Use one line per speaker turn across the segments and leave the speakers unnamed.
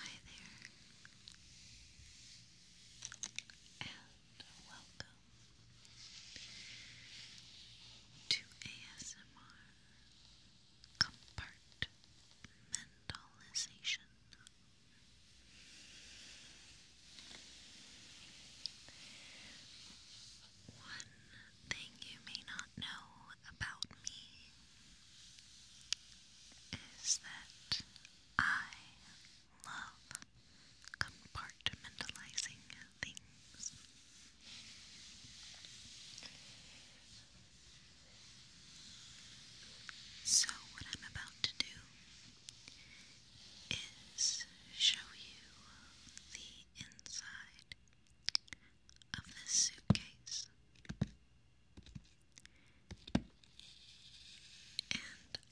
Hi there, and welcome to ASMR Compartmentalization. One thing you may not know about me is that I love compartmentalizing things. So, what I'm about to do is show you the inside of this suitcase. And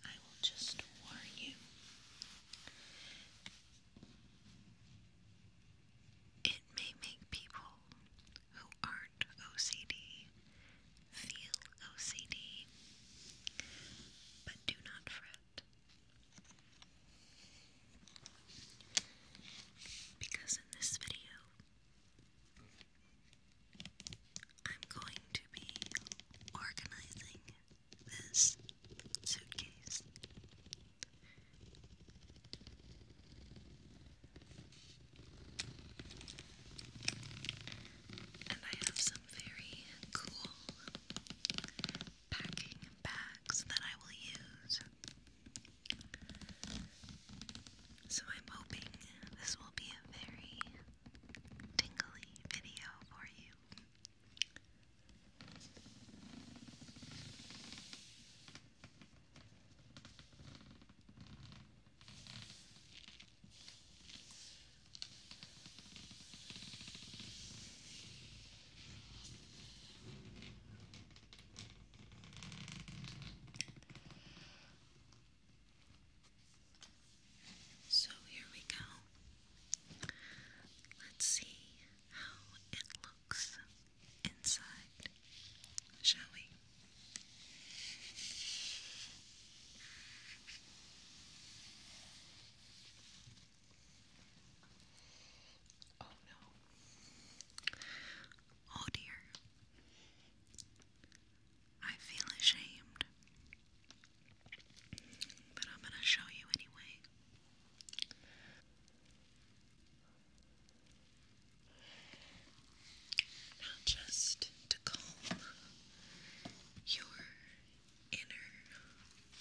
I will just warn you it may make people who aren't OCD feel OCD, but do not fret. Because in this video, I'm going to be organizing this suitcase. And I have some very cool packing bags that I will use. So I'm hoping this will be a very tingly video for you. So here we go. Let's see how it looks inside, shall we? Oh no. Oh dear. I feel ashamed. But I'm going to show you anyway. Not just to calm your inner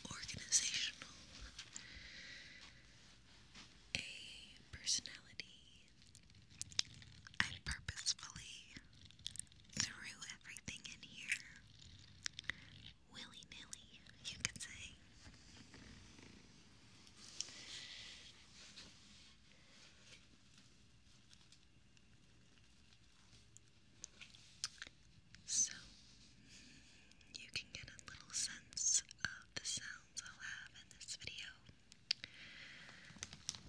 organizational a personality I purposefully threw everything in here willy nilly, you could say. So, you can get a little sense of the sounds I'll have in this video.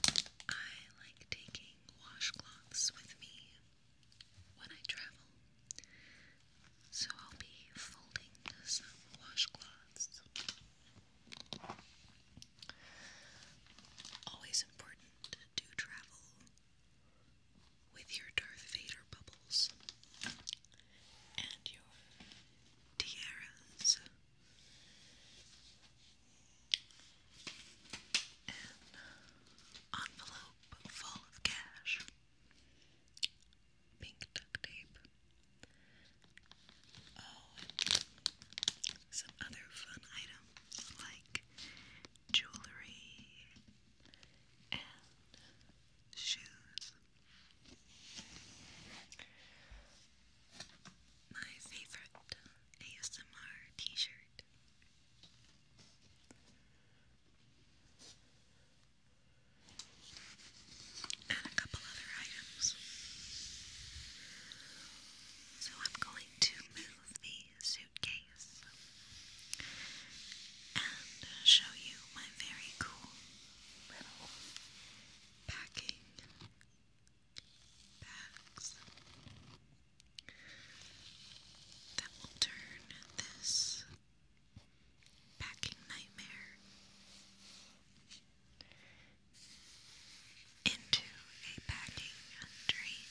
I like taking washcloths with me when I travel, so I'll be folding some washcloths. Always important to travel with your Darth Vader bubbles and your tiaras. An envelope full of cash. Pink duct tape. Oh, some other fun items like jewelry and shoes my favorite ASMR t-shirt. And a couple other items. So I'm going to move the suitcase and show you my very cool little packing bags that will turn this packing nightmare into a packing dream.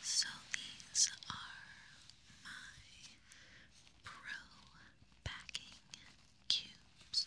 So these are my pro backing cubes.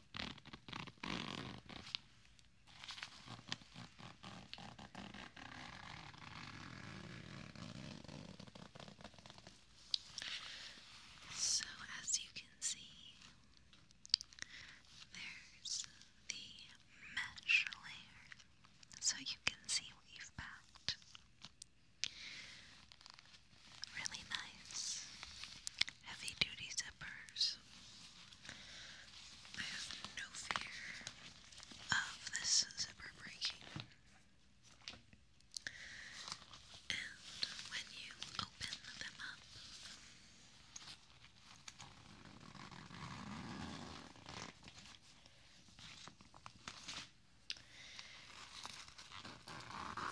So, as you can see, there's the mesh layer so you can see what you've packed. Really nice heavy duty zippers. I have no fear of this zipper breaking. And when you open them up,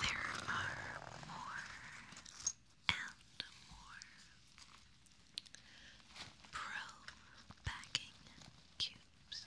there are more and more. Pro backing cubes.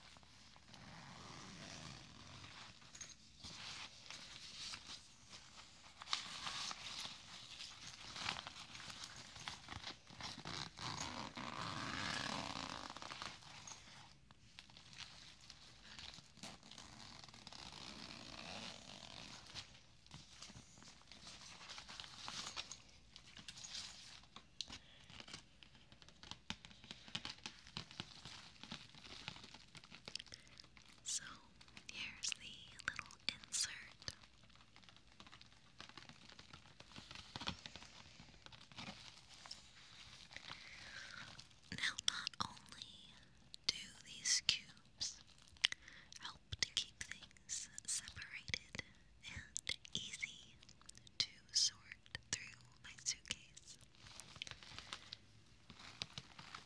So here's the little insert. Now, not only do these cubes help to keep things separated and easy to sort through my suitcase?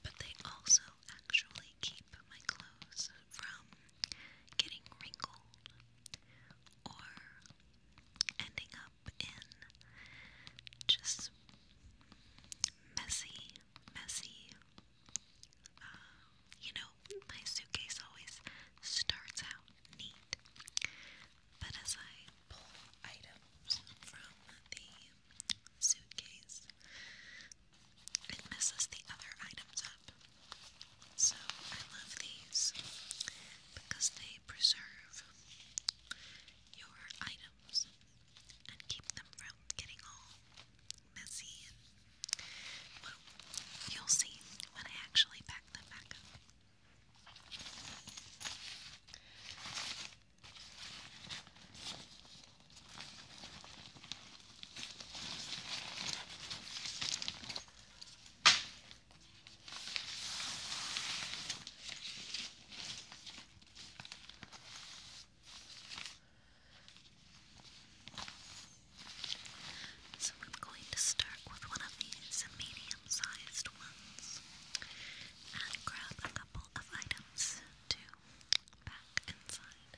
But they also actually keep my clothes from getting wrinkled or ending up in just messy messy. Uh, you know, my suitcase always starts out neat, but as I pull items from the suitcase, it messes the other items up. So I love these because they preserve your item towels and keep them from getting all messy. And, you'll see when I actually pack them back up. So I'm going to start with one of these medium sized ones and grab a couple of items to pack inside.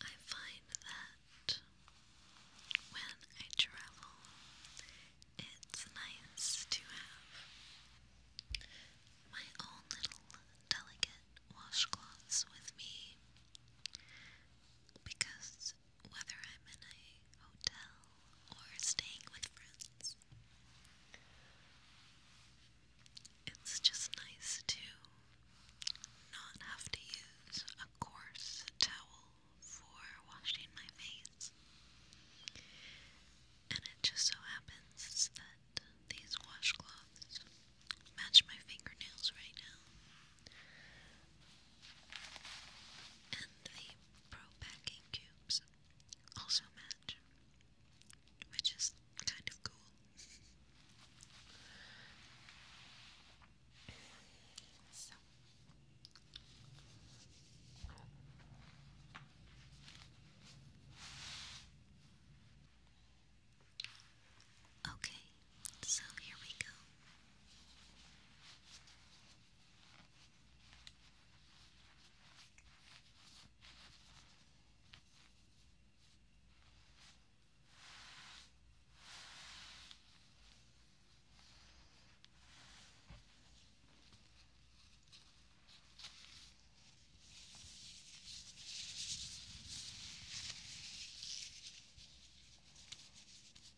I find that when I travel, it's nice to have my own little delicate washcloths with me because whether I'm in a hotel or staying with friends. It's just nice to not have to use a coarse towel for washing my face. And it just so happens that these washcloths match my fingernails right now. And the pro packing cubes also match, which is kind of cool. Okay, so here we go.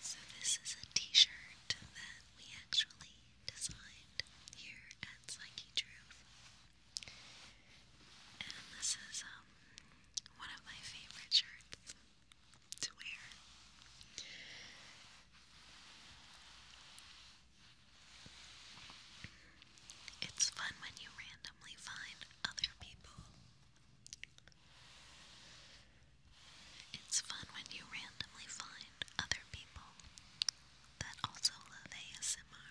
So, this is a t shirt that we actually designed here at Psyche And this is um, one of my favorite shirts to wear. It's fun when you randomly find other people. It's fun when you randomly find other people that also love ASMR.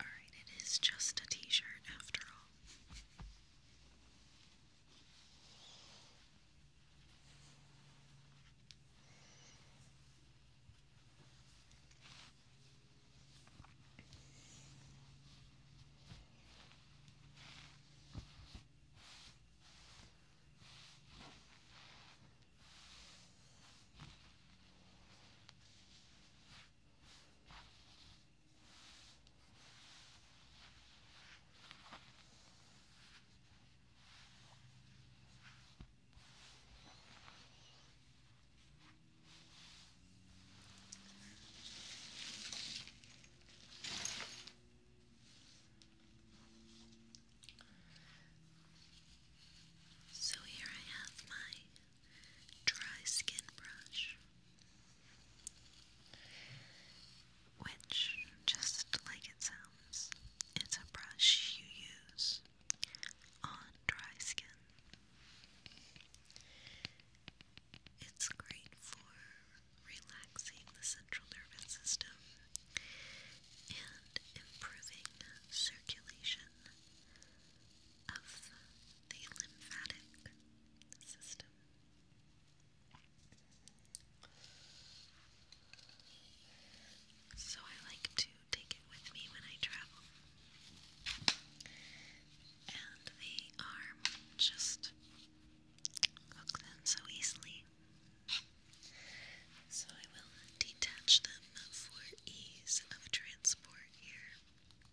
Alright, it is just a t shirt after all. So here I have my dry skin brush, which, just like it sounds, it's a brush you use on dry skin. It's great for relaxing the central nervous system and improving circulation of the lymphatic system. So I like to take it with me when I travel. And the arm just hooks in so easily. So I will detach them for ease of transport here.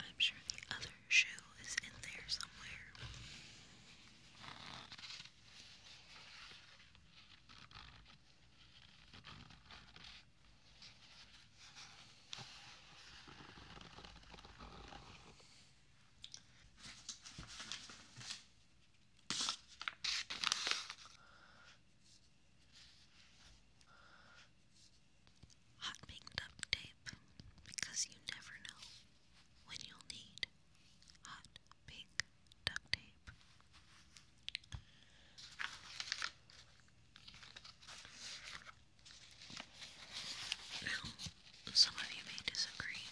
I'm sure the other shoe is in there somewhere. Hot picked up tape because you never know when you'll need hot pink duct tape. Now, some of you may disagree.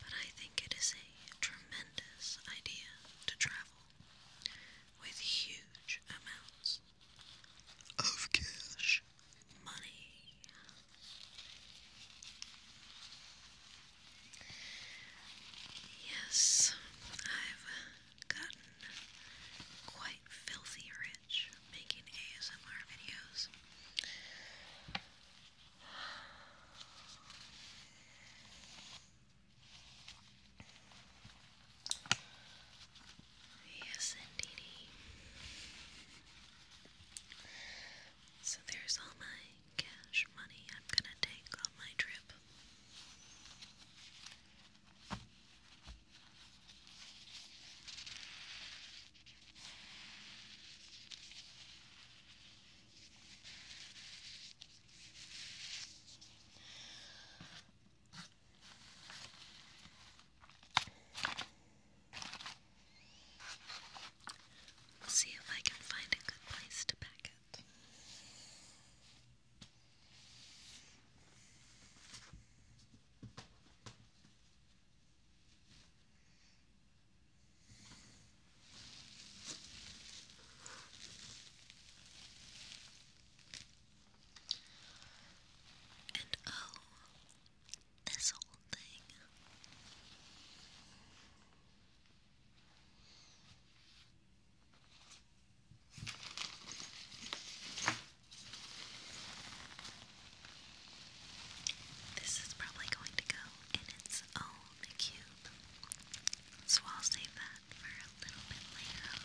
But I think it is a tremendous idea to travel with huge amounts of cash money. Yes, I've gotten quite filthy rich making ASMR videos. Yes, indeed. So there's all my cash money I'm gonna take on my trip. We'll see if I can find a good place to pack it. And oh, this whole thing. This is probably going to go in its own so I'll save that for a little bit later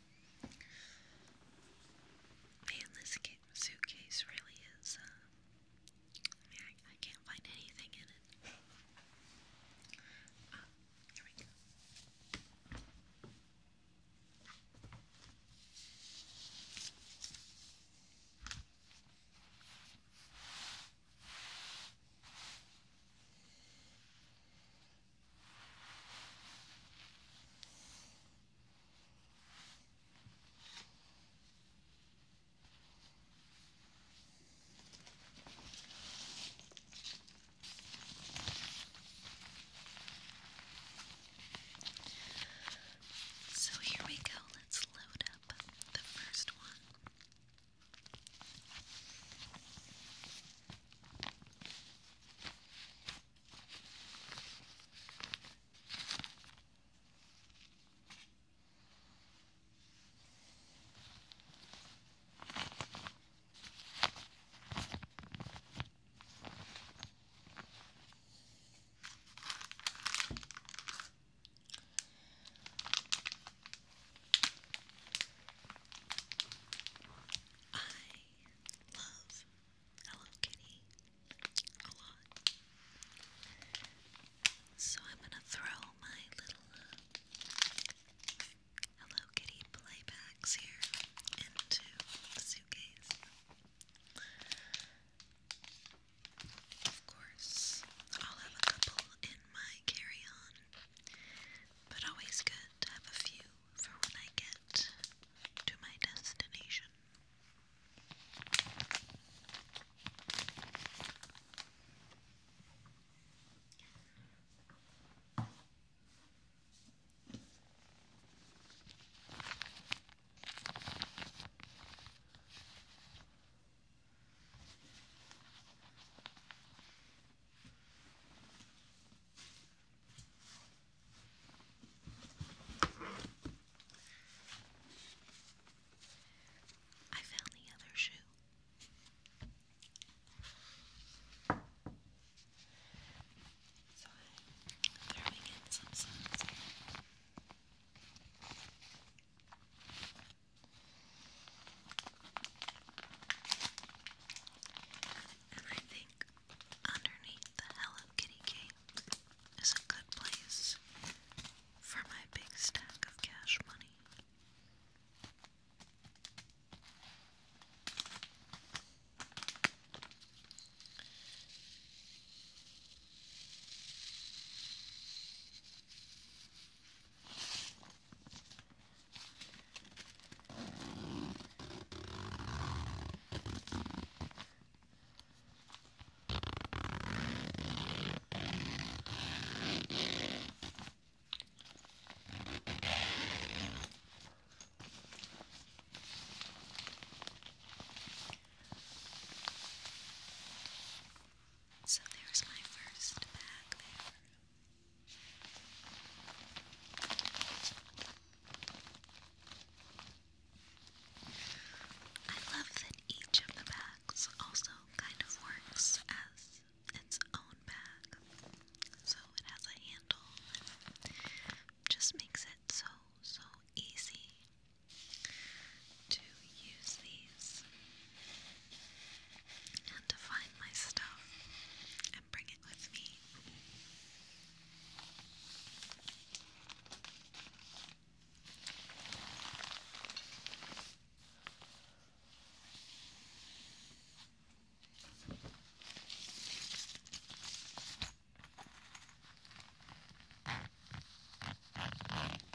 Man, this suitcase really is, uh, I can't find anything in it. Ah, here we go. So here we go, let's load up the first one. I love Hello Kitty a lot. So I'm gonna throw my little Hello Kitty playbacks here into the suitcase. Of course, I'll have a couple in my carry on, but always good to have a few for when I get to my destination. I found the other shoe. So I'm throwing in some And I think Underneath the Hello Kitty cake is a good place for my big stack of cash money. So there's my first bag there. I love that each of the bags also kind of works as its own bag. So it has a handle just makes it so, so easy to use these and to find my stuff and bring it with me. Thank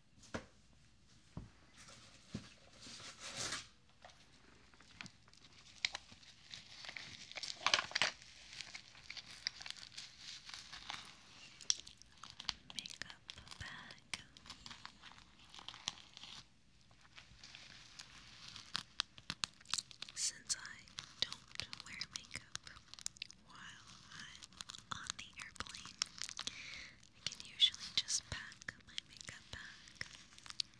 Makeup bag. Since I don't wear makeup while on the airplane, I can usually just pack my makeup bag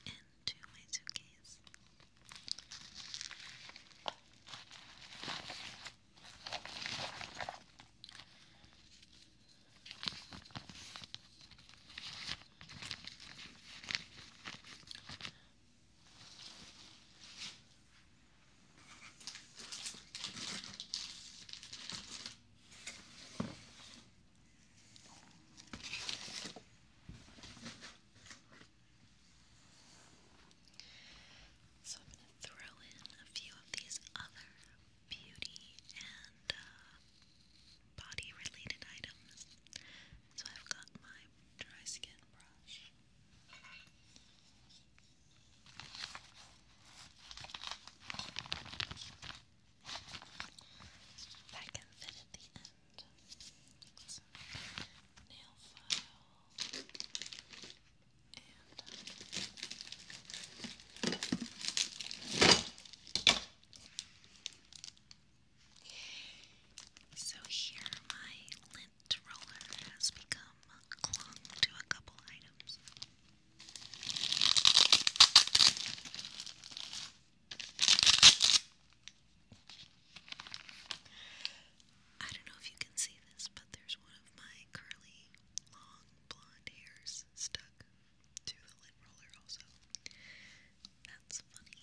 into my suitcase. So i throw in a few of these other beauty and uh, body related items. So I've got my dry skin brush. That can So here my lint roller has become clung to a couple items. I don't know if you can see this, but there's one of my curly, long blonde hairs stuck to the lint roller, also. That's funny.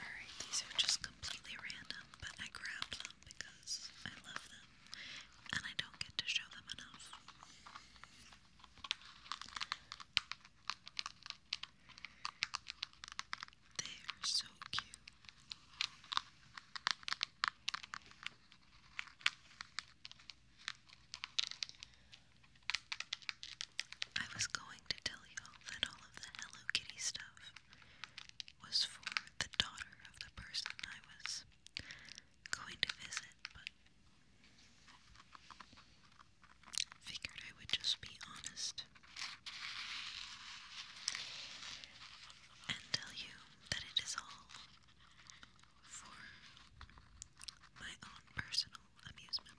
Alright, these are just completely random, but I grabbed them because I love them and I don't get to show them enough. They are so cute. I was going to tell you that all of the Hello Kitty stuff was for the daughter of the person I was going to visit, but figured I would just be honest and tell you that it is all for my own personal amusement.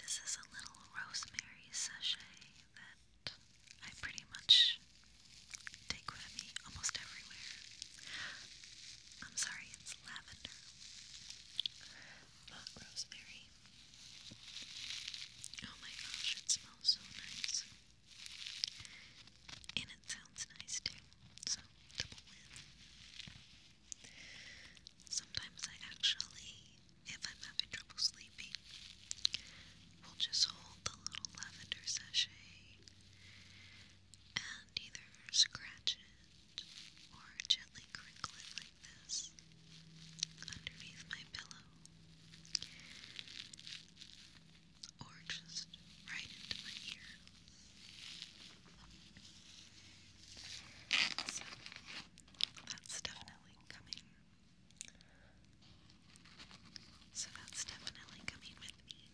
This is a little rosemary sachet that I pretty much take with me almost everywhere. I'm sorry, lavender, rosemary. Oh my gosh, it smells so nice. And it sounds nice too, so double win. Sometimes I actually, if I'm having trouble sleeping, will just hold the little lavender sachet and either scratch it or gently crinkle it like this underneath my pillow or just right into my ear. So that's definitely coming. So that's definitely coming with me.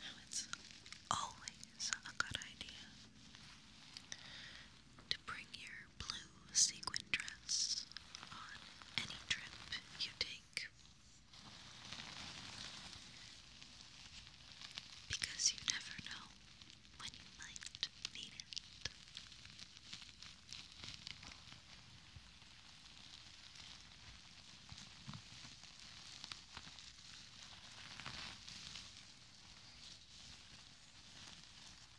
Now it's always a good idea to bring your blue sequin dress on any trip you take. Because you never know when you might need it.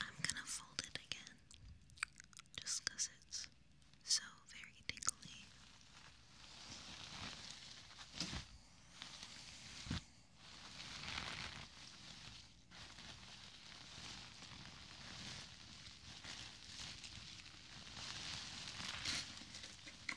I'm gonna fold it again just because it's so very tingly.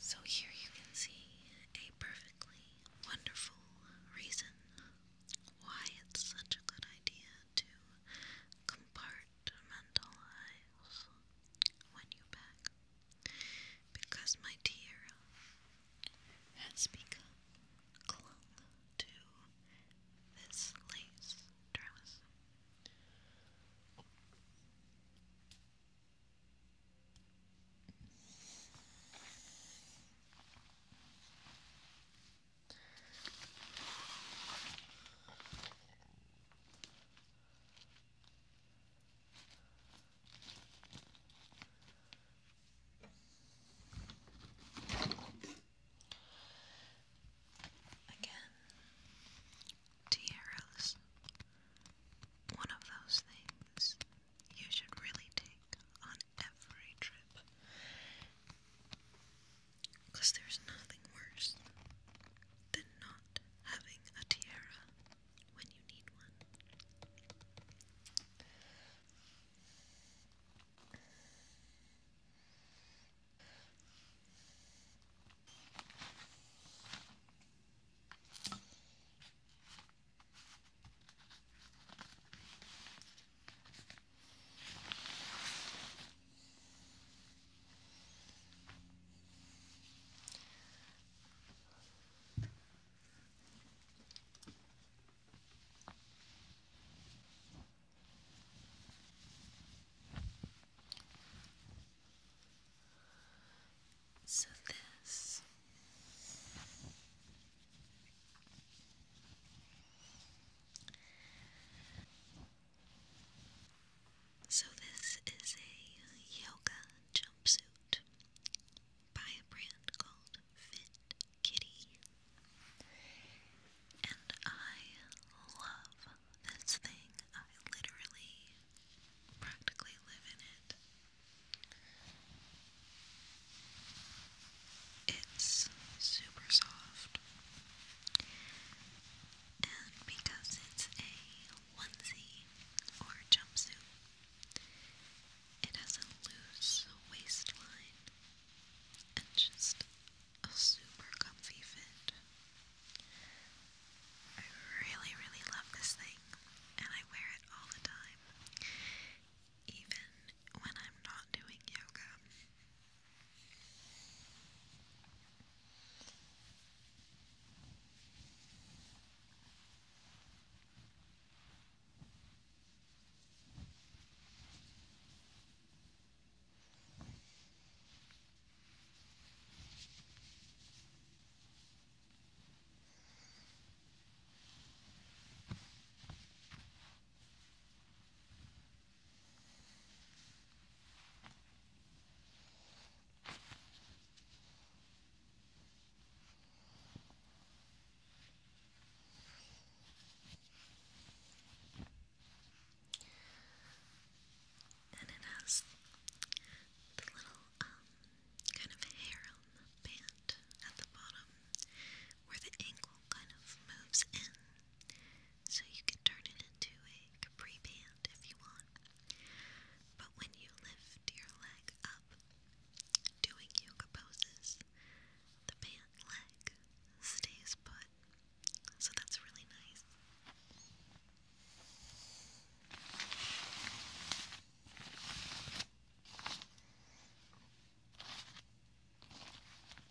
So here you can see a perfectly wonderful reason why it's such a good idea to compartmentalize when you pack. Because my tiara has become clung to this lace dress. Again, tiaras. One of those things you should really take on every trip. Because there's nothing worse than not having a tiara when you need one. So this so, this is a yoga jumpsuit by a brand called Fit Kitty. And I love this thing. I literally practically live in it. It's super soft, and because it's a onesie or jumpsuit, it has a loose waistline and just a super comfy fit. I really, really love this thing, and I wear it all the time, even when I'm not doing yoga. And it has the little um, kind of hair on the band at the bottom where the ankle kind of moves in, so you can turn it into a capri band if you want. But when you lift your leg up doing yoga poses, the band leg stays put, so that's really nice.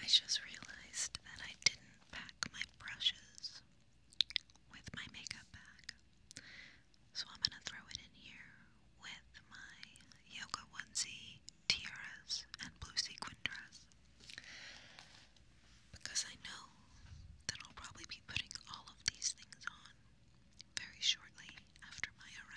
I just realized that I didn't pack my brushes with my makeup bag. So I'm going to throw it in here with my yoga onesie, tiaras, and blue sequin dress because I know that I'll probably be putting all of these things on very shortly after my arrival.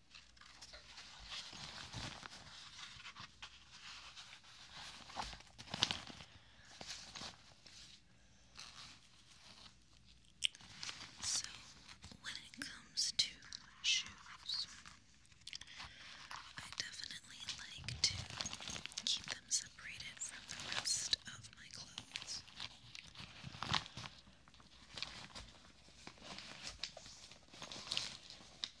So, when it comes to shoes, I definitely like to keep them separated from the rest of my clothes.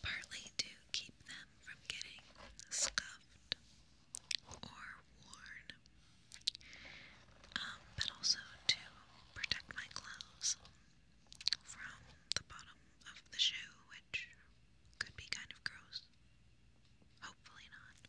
Partly to keep them from getting scuffed or worn, um, but also to protect my clothes from the bottom of the shoe, which could be kind of gross. Hopefully not.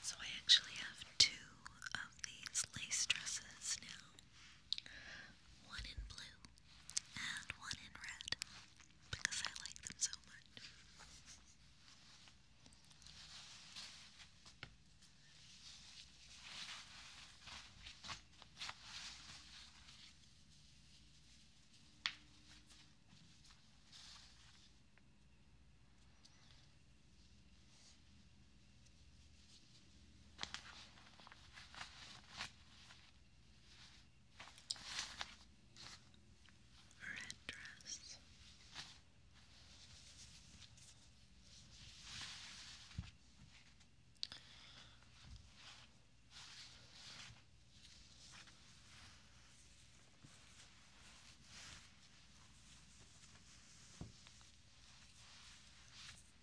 So I actually have two of these lace dresses now one in blue, and one in red, because I like them so much. Red dress. And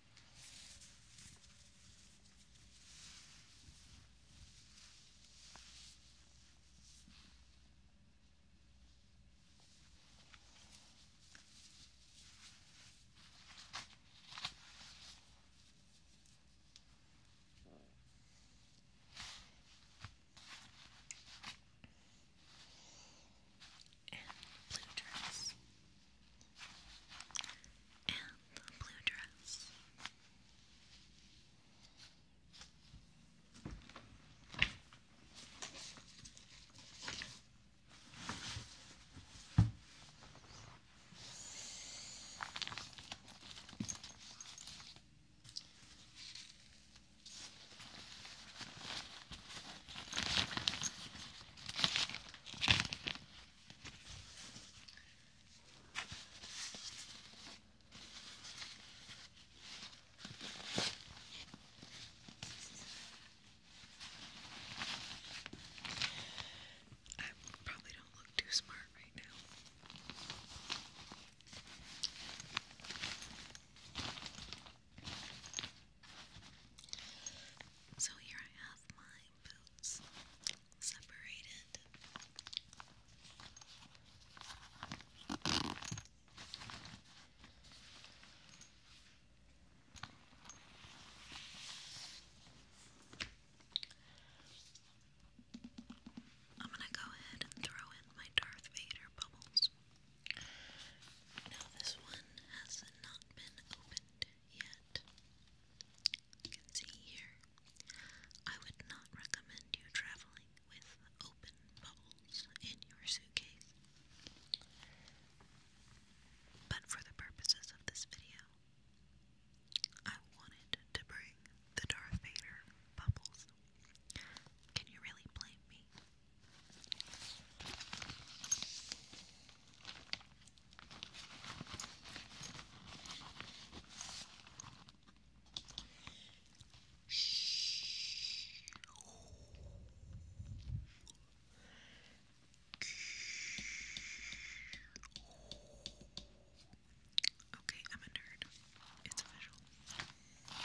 blue dress and a blue dress. I probably don't look too smart right now. So here I have my separated. I'm going to go ahead and throw in my Darth Vader bubbles. Now, this one has not been opened yet. You can see here, I would not recommend you traveling with open bubbles in your suitcase. But for the purposes of this video, I wanted to bring the Darth Vader bubbles. Can you really blame me? Okay, I'm a nerd. It's official. Okay.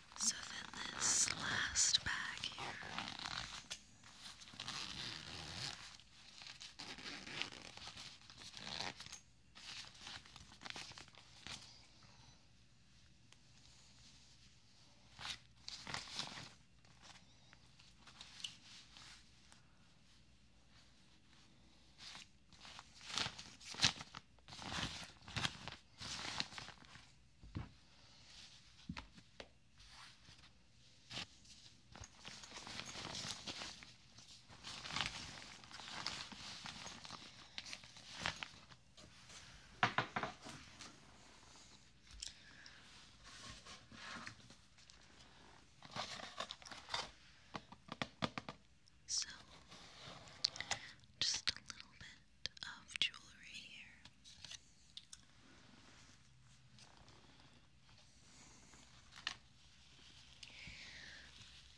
So then this last bag here. So, just a little bit of jewelry here.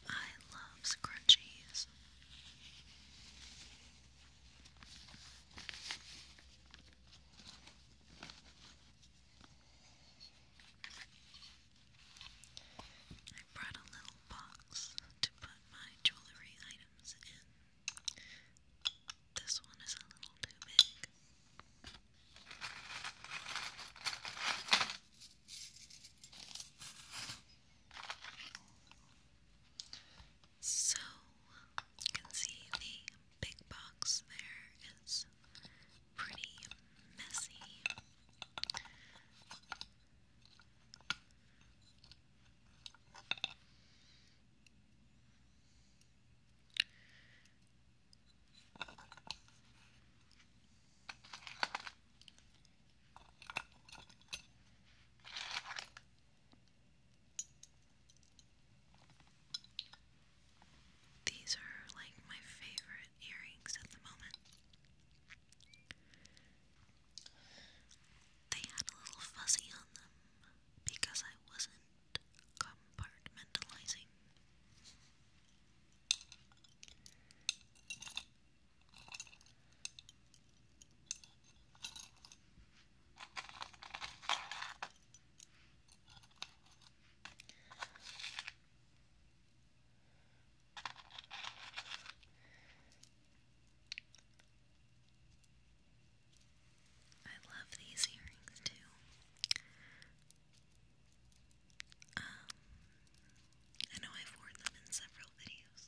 I love scrunchies. I brought a little box to put my jewelry items in. This one is a little too big. So, you can see the big box there is pretty messy. These are like my favorite earrings at the moment. They had a little fuzzy on them because I wasn't compartmentalizing. I love these earrings too. Um, I know I've worn them in several videos.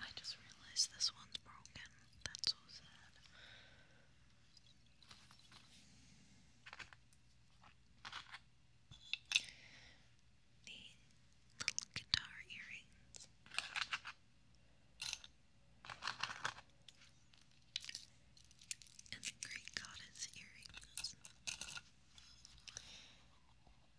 I just realized this one's broken. That's so sad. The little guitar earrings. And the Greek goddess earrings. My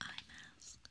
eye mask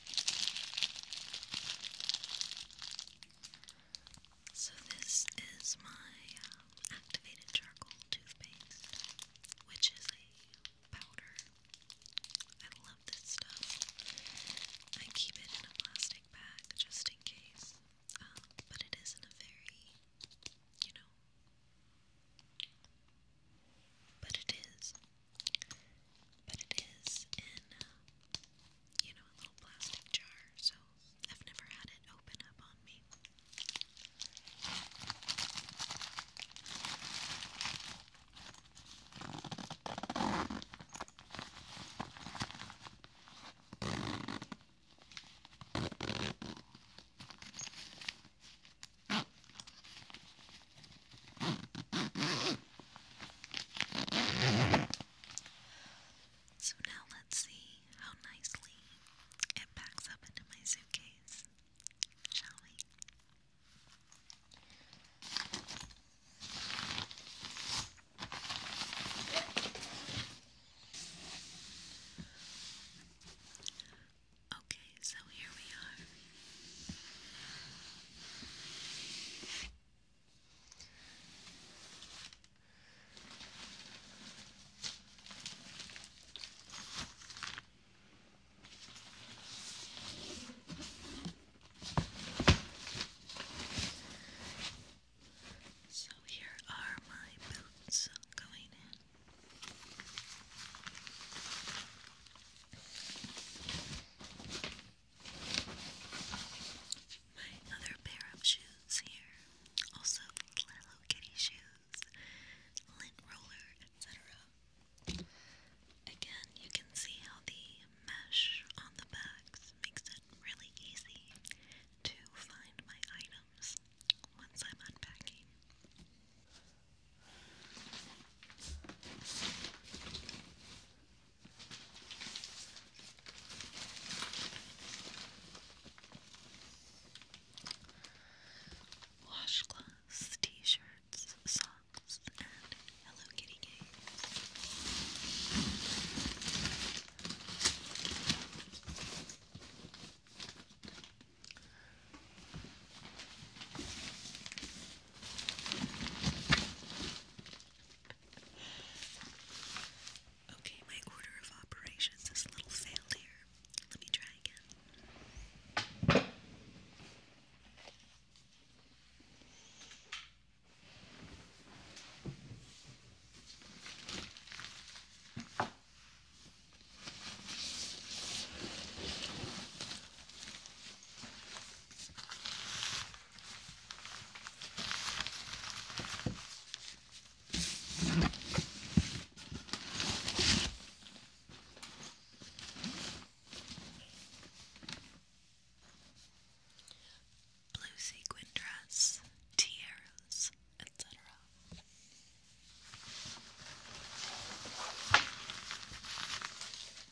So, this is my um, activated charcoal toothpaste, which is a powder. I love this stuff. I keep it in a plastic bag just in case, um, but it isn't a very, you know, but it is but it is in, uh, you know, a little plastic jar, so I've never had it open up on me. So now let's see how nicely it packs up into my suitcase, shall we? Okay, so here we are. So here are my boots going in. My other pair of shoes here, also Hello Kitty shoes, lint roller, etc. Again, you can see how the mesh on the bags makes it really easy to find my items once I'm unpacking. Washcloths, t-shirts, socks, and Hello Kitty games okay, my order of operations is a little failed here. Let me try again. Blue sequin dress, tiaras, etc.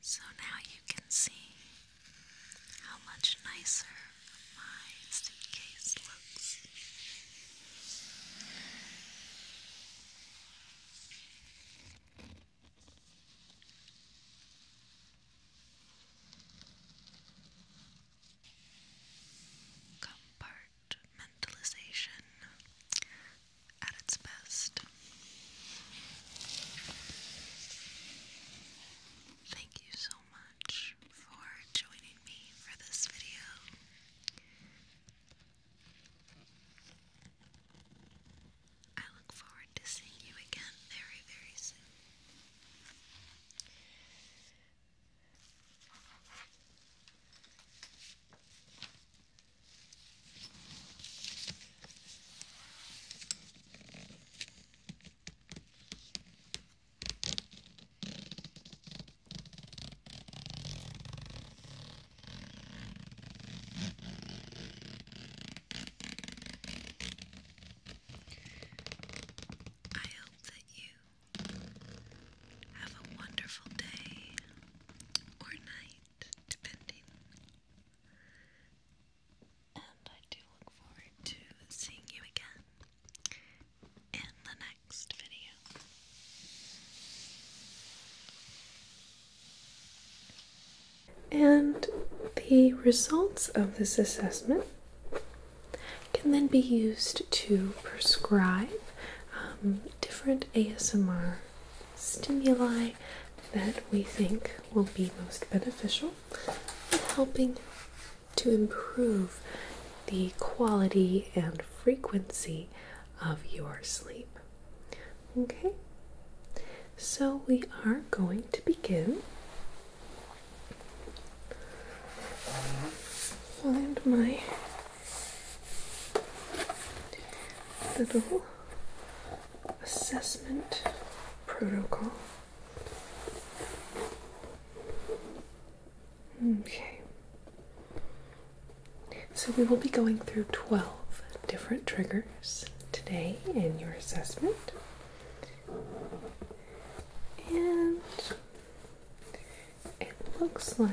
So now you can see how much nicer my suitcase looks. Compartment mentalization at its best. Thank you so much for joining me for this video. I look forward to seeing you again very, very soon. I hope that you have a wonderful day or night, depending. And I do look forward to seeing you again in the next video. And the results of this assessment can then be used to prescribe um, different ASMR stimuli that we think will be most beneficial in helping to improve the quality and frequency of your sleep. Okay, so we are going to begin. Find my little assessment protocol. Okay. So we will be going through 12 different triggers today in your assessment. And it looks like